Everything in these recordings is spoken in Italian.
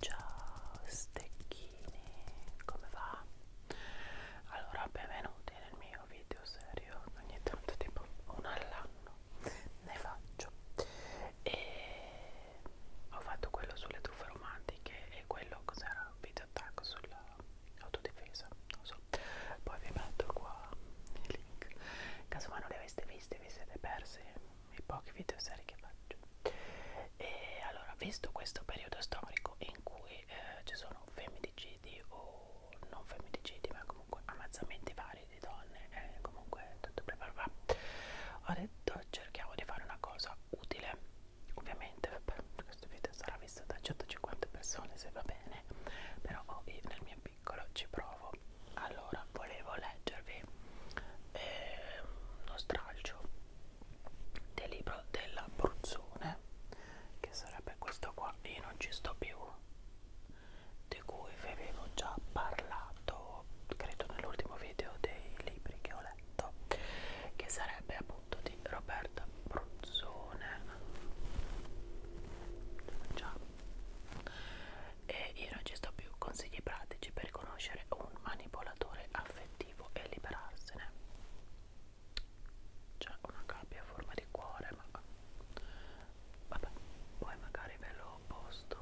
Ciao stecchini, come va? Allora benvenuti nel mio video serio, ogni tanto tipo uno all'anno ne faccio e ho fatto quello sulle truffe romantiche e quello cos'era? Video attacco sulla autodifesa, non so. Poi vi metto qua il link. Casomai non le aveste viste, vi siete persi i pochi video serie che faccio. E allora, visto questo periodo storico in cui eh, ci sono femminicidi o non femminicidi, ma comunque ammazzamenti vari di donne, eh, comunque tutto preparato, ho detto cerchiamo di fare una cosa utile ovviamente beh, questo video sarà visto da 150 persone se va bene però oh, io nel mio piccolo ci provo allora volevo leggervi eh, uno stralcio del libro della Bruzzone che sarebbe questo qua io non ci sto più di cui vi avevo già parlato credo nell'ultimo video dei libri che ho letto che sarebbe appunto di Roberta Bruzzone Già. e io non ci sto più consigli pratici per conoscere un manipolatore affettivo e liberarsene c'è una gabbia a forma di cuore ma vabbè poi magari ve lo posto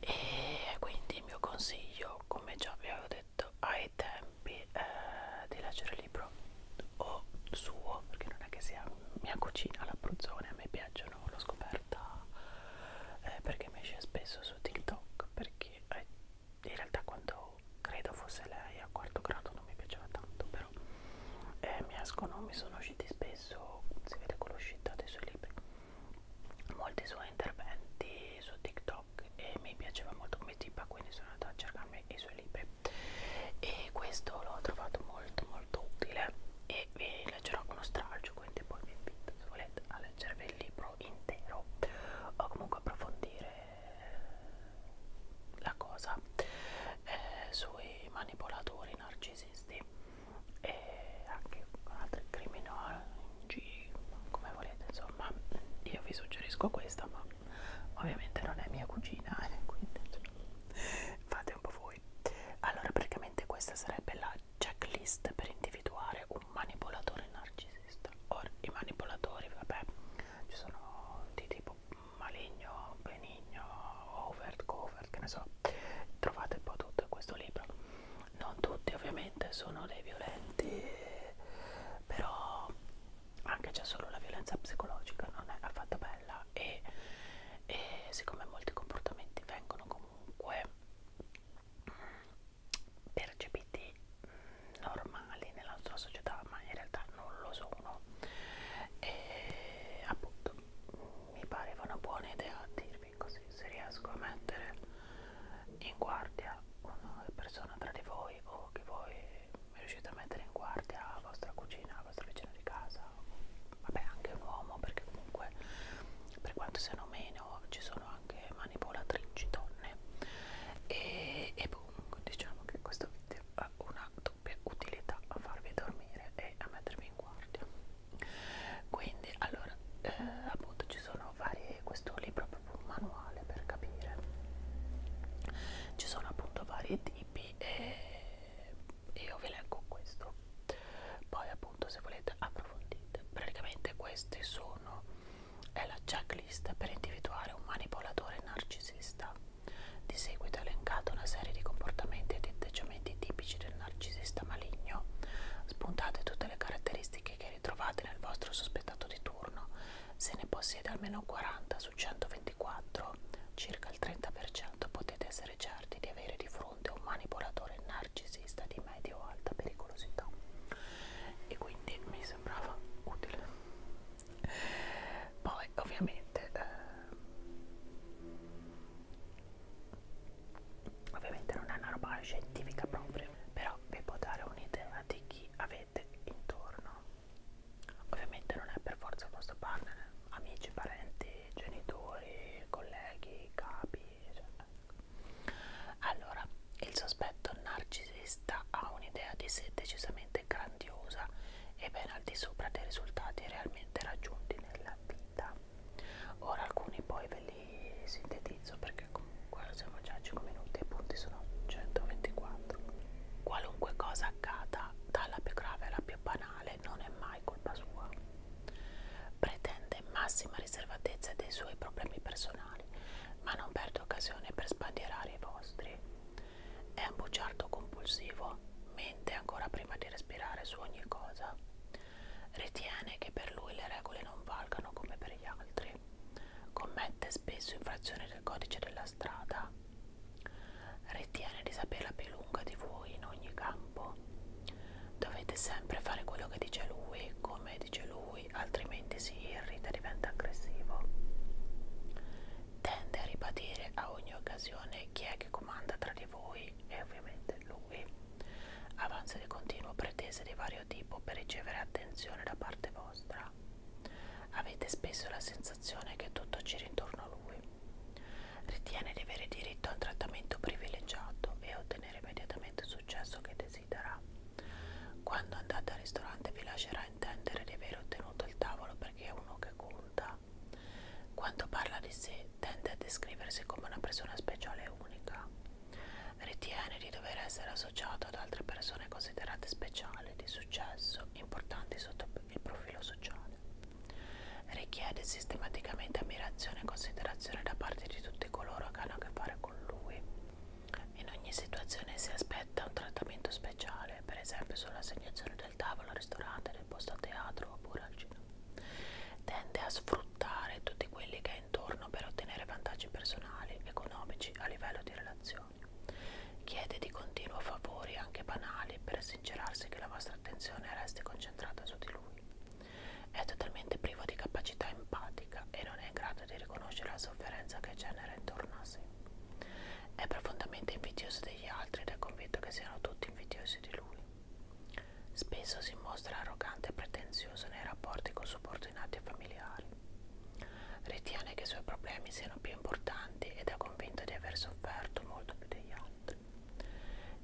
e quindi il mio consiglio io come già vi avevo detto ai tempi eh, di leggere il libro o suo perché non è che sia mia cucina l'abruzzone a me piacciono l'ho scoperta eh, perché mi esce spesso su TikTok perché eh, in realtà quando credo fosse lei a quarto grado non mi piaceva tanto però eh, mi escono mi sono usciti spesso si vede con l'uscita dei suoi libri molti suoi interventi su TikTok e mi piaceva molto come tipa quindi sono andata a cercarmi i suoi libri e questo l'ho trovato molto molto utile e vi leggerò uno stralcio quindi poi vi invito se volete a leggervi il libro intero o comunque approfondire la cosa eh, sui manipolatori narcisisti e anche con altri criminali G, come volete insomma io vi suggerisco questa ma ovviamente non è mia cugina eh, quindi fate un po' voi allora praticamente questa sarebbe la checklist per individuare un manipolatore narcisista ora i manipolatori vabbè ci sono di tipo maligno benigno overt covert che ne so trovate un po' tutto in questo libro non tutti ovviamente sono dei violenti però anche già solo la violenza psicologica non è affatto bella e, e siccome molti comportamenti vengono comunque percepiti normali nella nostra società ma in realtà non lo sono e appunto mi pareva una buona idea dirvi picco così se riesco a mettere in guardia una persona tra di voi o che voi riuscite a mettere in guardia la vostra cucina, la vostra vicina di casa, vabbè anche un uomo perché comunque per quanto siano meno ci sono anche manipolatrici donne e, e boom, diciamo che questo video ha una doppia utilità a farvi dormire e a mettervi in guardia quindi allora eh, appunto ci sono varie questo libro è proprio un manuale per capire ci sono appunto vari tipi e io vi leggo questo poi appunto se volete approfondite praticamente questi sono è la checklist per individuare un manipolatore narcisista di seguito è elencata una serie di comportamenti ed atteggiamenti tipici del narcisista maligno spuntate tutte le caratteristiche tecniche che ritrovate nel vostro sospettato di turno, se ne possiede almeno 40 su 124, circa il 30%, potete essere certi di avere di fronte un manipolatore narcisista di medio o alta pericolosità. E quindi mi sembrava utile. Poi ovviamente eh, Ovviamente non è una roba scientifica proprio, però vi può dare un'idea di chi avete intorno. Ovviamente non è per forza il vostro partner, amici, parenti, genitori, colleghi, capi, eccetera. Allora, il sospetto narcisista ha un'idea di sé decisamente grandiosa e ben al di sopra dei risultati realmente raggiunti nella vita ora alcuni poi ve li sintetizzo perché comunque siamo già a 5 minuti e i punti sono 124 qualunque cosa accada dalla più grave alla più banale non è mai colpa sua pretende massima riservatezza dei suoi problemi personali ma non perde occasione per sbandierare i vostri è un bugiardo compulsivo mente ancora prima di respirare su ogni cosa Ritiene che per lui le regole non valgano come per gli altri. Commette spesso infrazioni del codice della strada. Ritiene di saperla più lunga di voi in ogni campo. Dovete sempre fare quello che dice lui, come dice lui, altrimenti si irrita e diventa aggressivo. Tende a ribadire a ogni occasione chi è che comanda tra di voi e ovviamente lui. Avanza di continuo pretese di vario tipo per ricevere attenzione da parte vostra. Avete spesso la sensazione che tutto giri intorno a lui. Ritiene di avere diritto a un trattamento privilegiato e ottenere immediatamente il successo che desidera. Quando andate al ristorante vi lascerà intendere di aver ottenuto il tavolo perché è uno che conta. Quando parla di sé Anthony tende a descriversi come una persona speciale e unica. Ritiene di dover essere associato ad altre persone considerate speciali, di successo, importanti sotto il profilo sociale. Richiede sistematicamente ammirazione e considerazione da parte di tutti coloro che hanno a che fare con lui. In ogni situazione si aspetta un trattamento speciale, per esempio sull'assegnazione del tavolo al ristorante, del posto a teatro oppure al cinema. Tende a sfruttare tutti quelli che intorno per ottenere vantaggi personali, economici a livello di relazioni. Chiede di continuo favori anche banali per assincerarsi che la vostra attenzione resti concentrata su di lui. È totalmente privo di capacità empatica e non è in grado di riconoscere la sofferenza che genera intorno a sé. È profondamente invidioso degli altri ed è convinto che siano tutti invidiosi di lui. Spesso si mostra arrogante e pretenzioso nei rapporti con subordinati e familiari. Ritiene che i suoi problemi siano più importanti ed è convinto di aver sofferto molto più degli altri.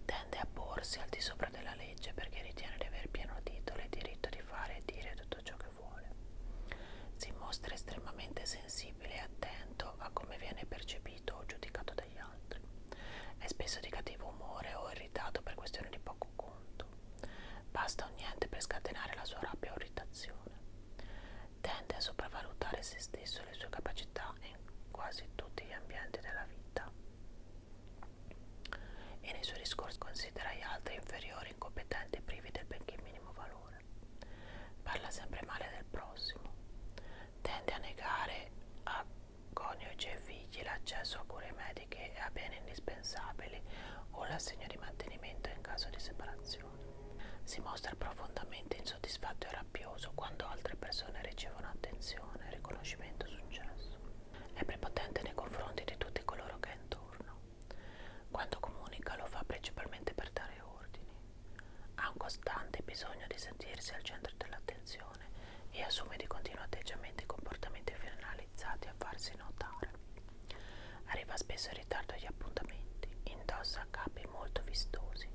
Tende a porsi al di sopra della legge perché ritiene di aver pieno titolo e diritto di fare e dire tutto ciò che vuole. Si mostra estremamente sensibile e attento a come viene percepito o giudicato dagli altri. È spesso di cattivo umore o irritato per questioni di poco conto. Basta o niente per scatenare la sua rabbia o irritazione. Tende a sopravvalutare se stesso e le sue capacità in quasi tutti gli ambienti della vita. E nei suoi discorsi considera gli altri inferiori, incompetenti e privi del benché minimo valore. Parla sempre male del prossimo. Tende a negare a coniuge e figli, l'accesso a cure mediche e a beni indispensabili o l'assegno di mantenimento in caso di separazione. Si mostra profondamente insoddisfatto e rabbioso quando altre persone ricevono attenzione, riconoscimento e successo. È prepotente nei confronti di tutti coloro che è intorno. Quando comunica lo fa principalmente per dare ordini. Ha un costante bisogno di sentirsi al centro dell'attenzione e assume di continuo atteggiamenti e comportamenti finalizzati a farsi notare. Arriva spesso in ritardo agli appuntamenti, indossa capi molto vistosi,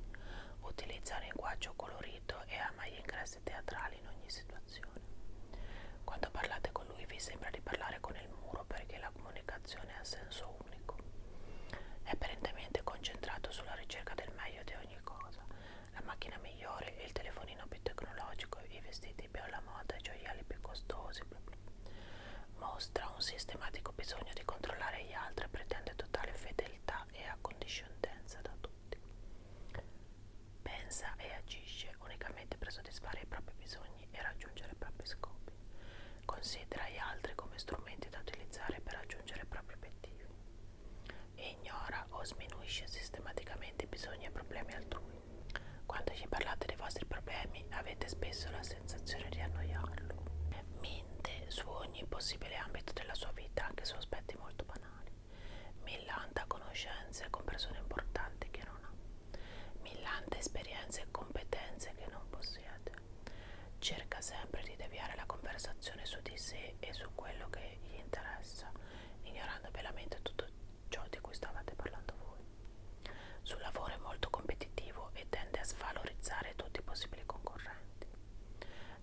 utilizza linguaggio colorito e ama gli ingressi teatrali in ogni situazione. Quando parlate con lui vi sembra di parlare con il muro perché la comunicazione ha senso unico. È apparentemente concentrato sulla ricerca del meglio di ogni cosa, la macchina migliore, il telefonino più tecnologico, i vestiti più alla moda, i gioielli più costosi. Bla bla. Mostra un sistematico bisogno di controllare gli altri, pretende totale fedeltà e accondiscendenza da tutti. Pensa e agisce unicamente per soddisfare i propri bisogni e raggiungere i propri scopi. Considera gli altri come strumenti da utilizzare per raggiungere i propri obiettivi e ignora o sminuisce sistematicamente i bisogni e problemi altrui. Quando ci parlate dei vostri problemi avete spesso la sensazione di annoiarlo. Minte su ogni possibile ambito della sua vita, anche su aspetti molto banali. Millanta conoscenze con persone importanti che non ha. Millanta esperienze e competenze che non possiede. Cerca sempre di deviare la conversazione su di sé e su quello che gli interessa ignorando belamente tutto ciò di cui stavate parlando voi. Sul lavoro è molto competitivo e tende a svalorizzare tutti i possibili concorrenti.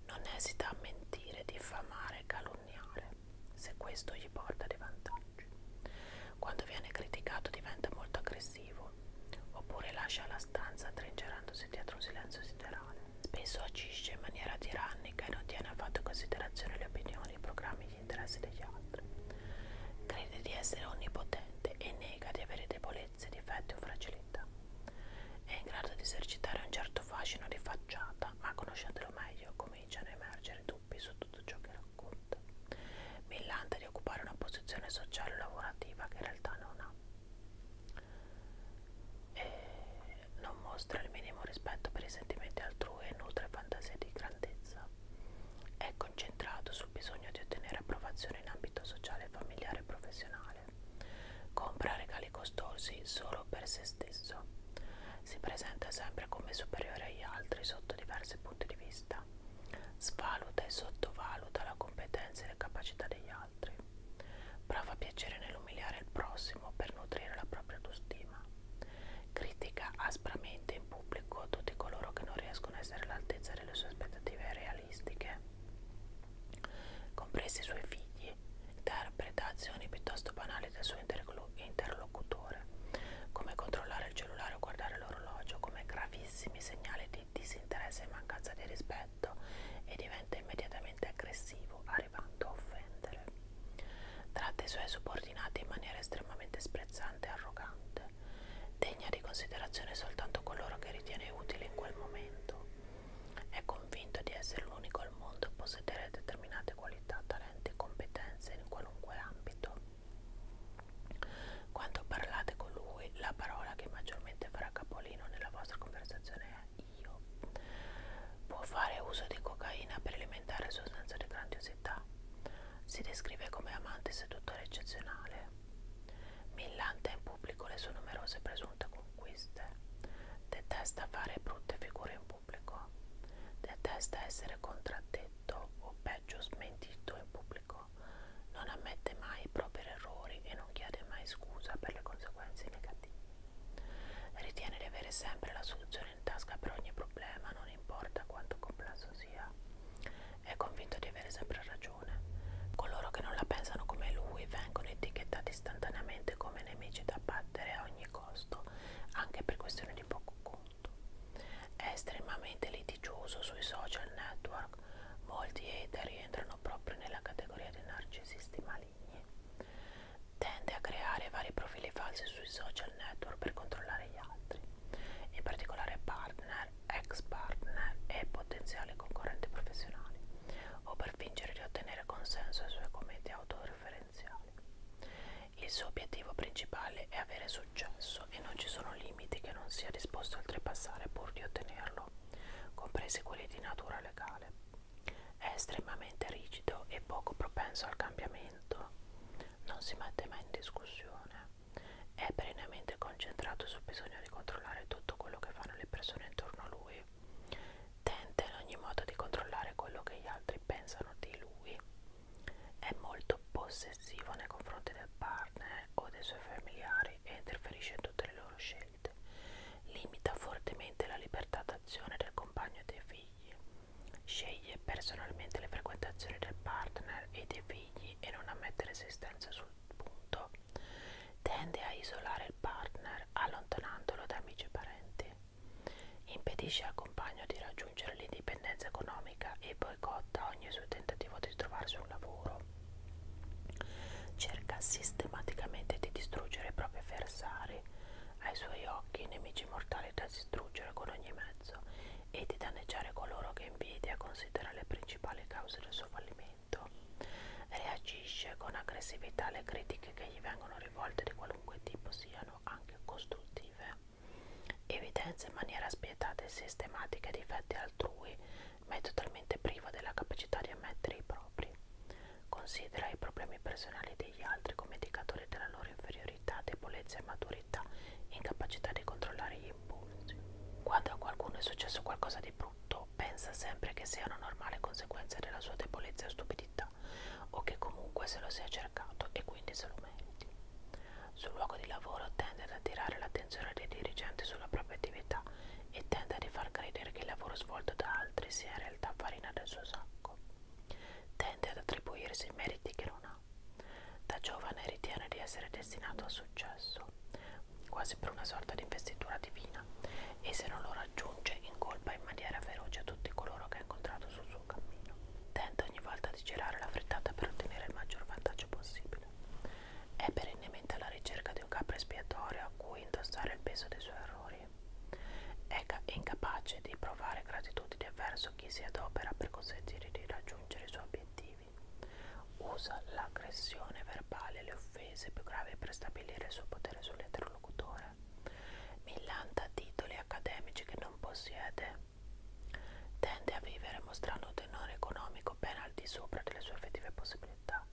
Non esita a mentire, diffamare, calunniare, se questo gli porta dei vantaggi. Quando viene criticato diventa molto aggressivo, oppure lascia la stanza trincerandosi dietro un silenzio siderale. Spesso agisce in maniera tirannica e non tiene affatto in considerazione le opinioni, i programmi e gli interessi degli altri. Crede di essere onnipotente e nega di avere debolezze, difetti o fragilità. È in grado di esercitare un certo fascino di facciata, ma conoscendolo meglio cominciano a emergere dubbi su tutto ciò che racconta. Millante di occupare una posizione sociale o lavorativa che in realtà non ha. E eh, non mostra il minimo rispetto per i sentimenti altrui e nutre fantasie di grandezza. È concentrato sul bisogno di ottenere approvazione in ambito sociale, familiare e professionale. Compra regali costosi solo per se stesso. Si presenta sempre come superiore agli altri sotto diversi punti di vista. Svaluta e sottovaluta la competenza e le capacità degli altri altri. Prova piacere nell'umiliare il prossimo per nutrire la propria autostima. Critica aspramente in pubblico tutti coloro che non riescono a essere all'altezza delle sue aspettative realistiche, compresi i suoi figli, interpretazioni piuttosto banali del suo interlocutore, come controllare il cellulare o guardare l'orologio, come gravissimi segnali di disinteresse e mancanza di rispetto oggetto e diventa immediatamente aggressivo, arrivando a offendere. Tratta i suoi subordinati in maniera estremamente sprezzante e arrogante, degna di considerazione soltanto coloro che ritiene utile in quel momento. È convinto di essere l'unico al mondo a possedere determinate qualità, talenti e competenze in qualunque ambito. Quando parlate con lui, la parola che maggiormente farà capolino nella vostra conversazione è io. Può fare uso di cocaina per alimentare il suo senso di grandiosità. Si descrive come amante seduttore eccezionale. Millante in pubblico le sue numerose presunte conquiste. Detesta fare brutte figure in pubblico. Detesta essere contraddetto o peggio smentito in pubblico. Non ammette mai i propri errori e non chiede mai scusa per le conseguenze negative. Ritiene di avere sempre la soluzione in tasca per ogni problema, non importa quanto complesso sia. È convinto di avere sempre ragione. Coloro che non la pensano come lui vengono etichettati istantaneamente come nemici da battere a ogni costo, anche per questioni di poco conto. È estremamente litigioso sui social network. Molti hater rientrano proprio nella categoria dei narcisisti malati maligni. Tende a creare vari profili falsi sui social network per controllare gli altri, in particolare partner, ex partner e potenziali concorrenti professionali, o per fingere di ottenere consenso ai suoi commenti autoreferenziali. Il suo obiettivo principale è avere successo e non ci sono limiti che non sia disposto a oltrepassare pur di ottenerlo, compresi quelli di natura legale. È estremamente rigido e poco propenso al cambiamento, non si mette mai in discussione, è perennemente concentrato sul bisogno di controllare tutto quello che fanno le persone intorno a lui, tenta in ogni modo di controllare quello che gli altri pensano di lui, è molto possessivo nei confronti del partner o dei suoi familiari e interferisce in tutte le loro scelte scelte, limita fortemente la libertà d'azione del compagno e dei figli, sceglie personalmente le frequentazioni del partner e dei figli e non ammette resistenze sul punto, tende a isolare il partner allontanandolo da amici e parenti, impedisce al compagno di raggiungere l'indipendenza economica e boicotta ogni suo tentativo di trovarsi un lavoro Cerca sistematicamente di distruggere i propri avversari, ai suoi occhi nemici mortali da distruggere con ogni mezzo e di danneggiare coloro che invidia considera le principali cause del suo fallimento. Reagisce con aggressività alle critiche che gli vengono rivolte di qualunque tipo siano anche costruttive. Evidenzia in maniera spietata e sistematica i difetti altrui, ma è totalmente privo della capacità di ammettere i propri. Considera i problemi personali degli altri come indicatori della loro inferiorità, debolezza e maturità, incapacità di controllare gli impulsi. Quando a qualcuno è successo qualcosa di brutto, pensa sempre che sia una normale conseguenza della sua debolezza o stupidità, o che comunque se lo sia cercato e quindi se lo meriti. Sul luogo di lavoro tende ad attirare l'attenzione dei dirigenti sulla propria attività e tenta di far credere che il lavoro svolto da altri sia in realtà farina del suo sacco. Tende ad attribuirsi meriti che non ha. Da giovane ritiene di essere destinato al successo, quasi per una sorta di investitura divina, e se non lo raggiunge incolpa in maniera feroce a tutti coloro che ha incontrato sul suo cammino. Tenta ogni volta di girare la frittata per ottenere il maggior vantaggio possibile. È perennemente alla ricerca di di un capro espiatorio a cui indossare il peso dei suoi errori. È incapace di provare gratitudine verso chi si adopera per consentire di raggiungere i suoi obiettivi. Usa l'aggressione verbale e le offese più gravi per stabilire il suo potere sull'interlocutore. Millanta titoli accademici che non possiede. Tende a vivere mostrando un tenore economico ben al di sopra delle sue effettive possibilità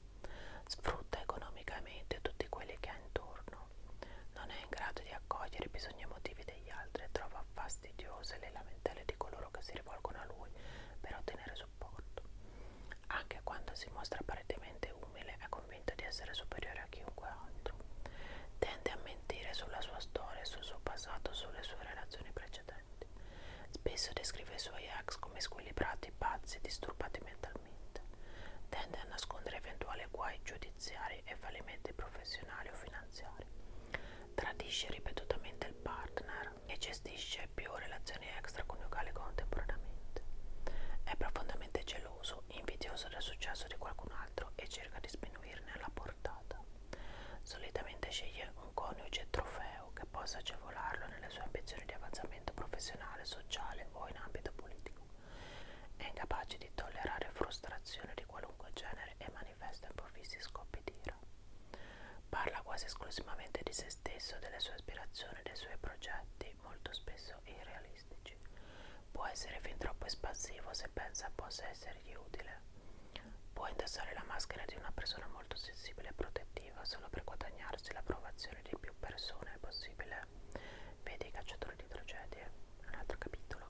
sfrutta economicamente tutti quelli che ha intorno, non è in grado di accogliere i bisogni emotivi degli altri e trova fastidiose le lamentele di coloro che si rivolgono a lui per ottenere supporto. Anche quando si mostra apparentemente umile è convinto di essere superiore a chiunque altro. Tende a mentire sulla sua storia, sul suo passato, sulle sue relazioni precedenti. Spesso descrive i suoi ex come squilibrati, pazzi, disturbati mentalmente regolarmente. Tende a nascondere eventuali guai giudiziari e fallimenti professionali o finanziari. Tradisce ripetutamente il partner e gestisce più relazioni extraconiugali contemporaneamente. È profondamente geloso, invidioso del successo di qualcun altro e cerca di sminuirne la portata. Solitamente sceglie un coniuge trofeo europeo che possa agevolarlo nelle sue ambizioni di avanzamento professionale, sociale o in ambito politico. È incapace di tollerare frustrazione di qualunque genere e manifesta improvvisi scoppi di ira. Parla quasi esclusivamente di se stesso, delle sue aspirazioni e dei suoi progetti, molto spesso irrealistici. Può essere fin troppo espansivo se pensa possa essergli utile. Può indossare la maschera di una persona molto sensibile e protettiva solo per guadagnarsi l'approvazione visione di più persone è possibile. Vedi Cacciatore di tragedie, un altro capitolo.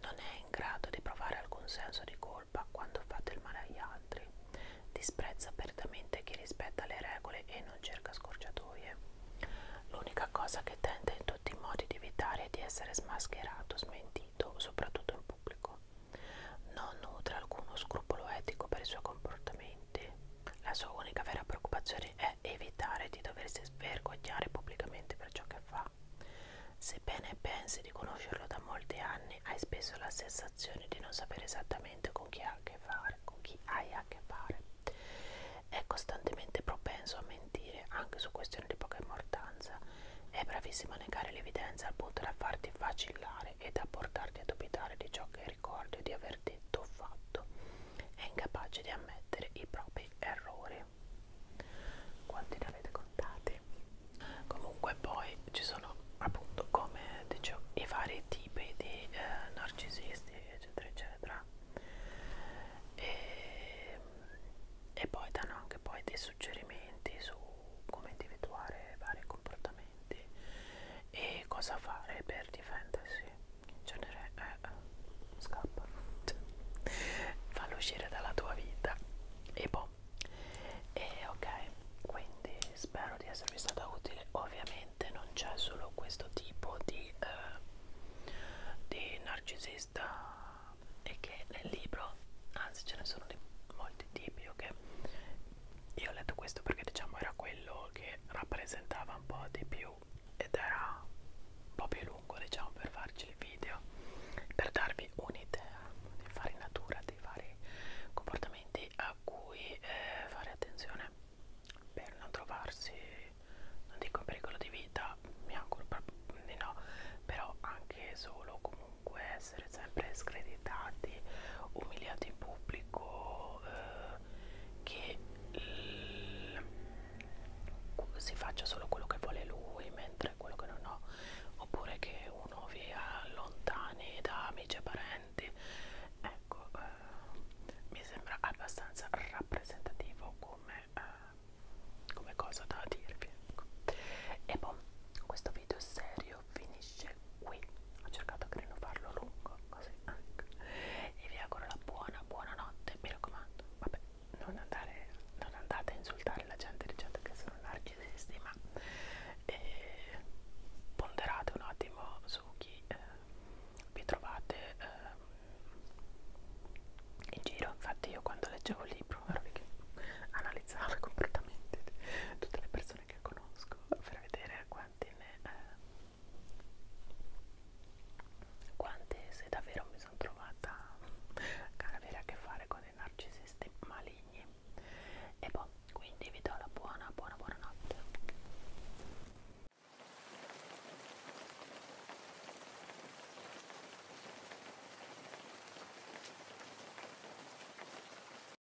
Non è in grado di provare alcun senso di colpa quando fa del male agli altri. Disprezza apertamente chi rispetta le regole e non cerca scorciatoie. L'unica cosa che tenta in tutti i modi di evitare è di essere smascherato, smentito, soprattutto in pubblico. Non nutre alcuno scrupolo etico per i suoi comportamenti niente. La sua unica vera preoccupazione è evitare di doversi svergognare pubblicamente per ciò che fa. Sebbene pensi di conoscerlo da molti anni, hai spesso la sensazione di non sapere esattamente con chi, ha a che fare, con chi hai a che fare. È costantemente propenso a mentire anche su questioni di poca importanza. È bravissimo a negare l'evidenza al punto da farti vacillare fare ed a portarti a dubitare di ciò che ricordi di aver detto o fatto, è incapace di ammettere i propri errori. Quanti ne avete contati? Comunque poi ci sono appunto come dicevo i vari tipi di eh, narcisisti eccetera eccetera e, e poi danno anche poi dei suggerimenti su come individuare vari comportamenti argomenti e cosa fare per difendersi in genere eh, scappa fallo uscire dalla tua vita e boh e ok quindi spero di esservi stata utile ovviamente non c'è solo questo tipo di eh, di narcisista e che nel libro anzi ce ne sono di molti tipi ok io ho letto questo perché diciamo era quello che rappresentava un po' di più ed era un po' più lungo diciamo per farci il video per darvi un'idea di farinatura dei vari comportamenti a cui eh, fare attenzione per non trovarsi non dico in pericolo di vita mi auguro proprio di no però anche solo comunque se essere sempre screditati, umiliati in pubblico, eh, che si faccia solo quello che vuole lui mentre quello che non ho, oppure che uno vi allontani da amici e parenti. Ecco, eh, mi sembra abbastanza rappresentativo come, eh, come cosa da dirvi. Ecco. E poi, questo video serio video finisce qui ho cercato di non farlo lungo così e vi auguro la buona buonanotte mi raccomando vabbè non andare non andate a insultare la gente dicendo che sono narcisisti ma eh, ponderate un attimo su chi eh, vi trovate eh, in giro infatti io quando leggevo il libro analizzavo completamente tutte le persone che conosco per vedere pattine eh, quante se davvero mi sono trovata a avere a che fare con dei narcisisti maligni e boh quindi vi do la buona buona buona notte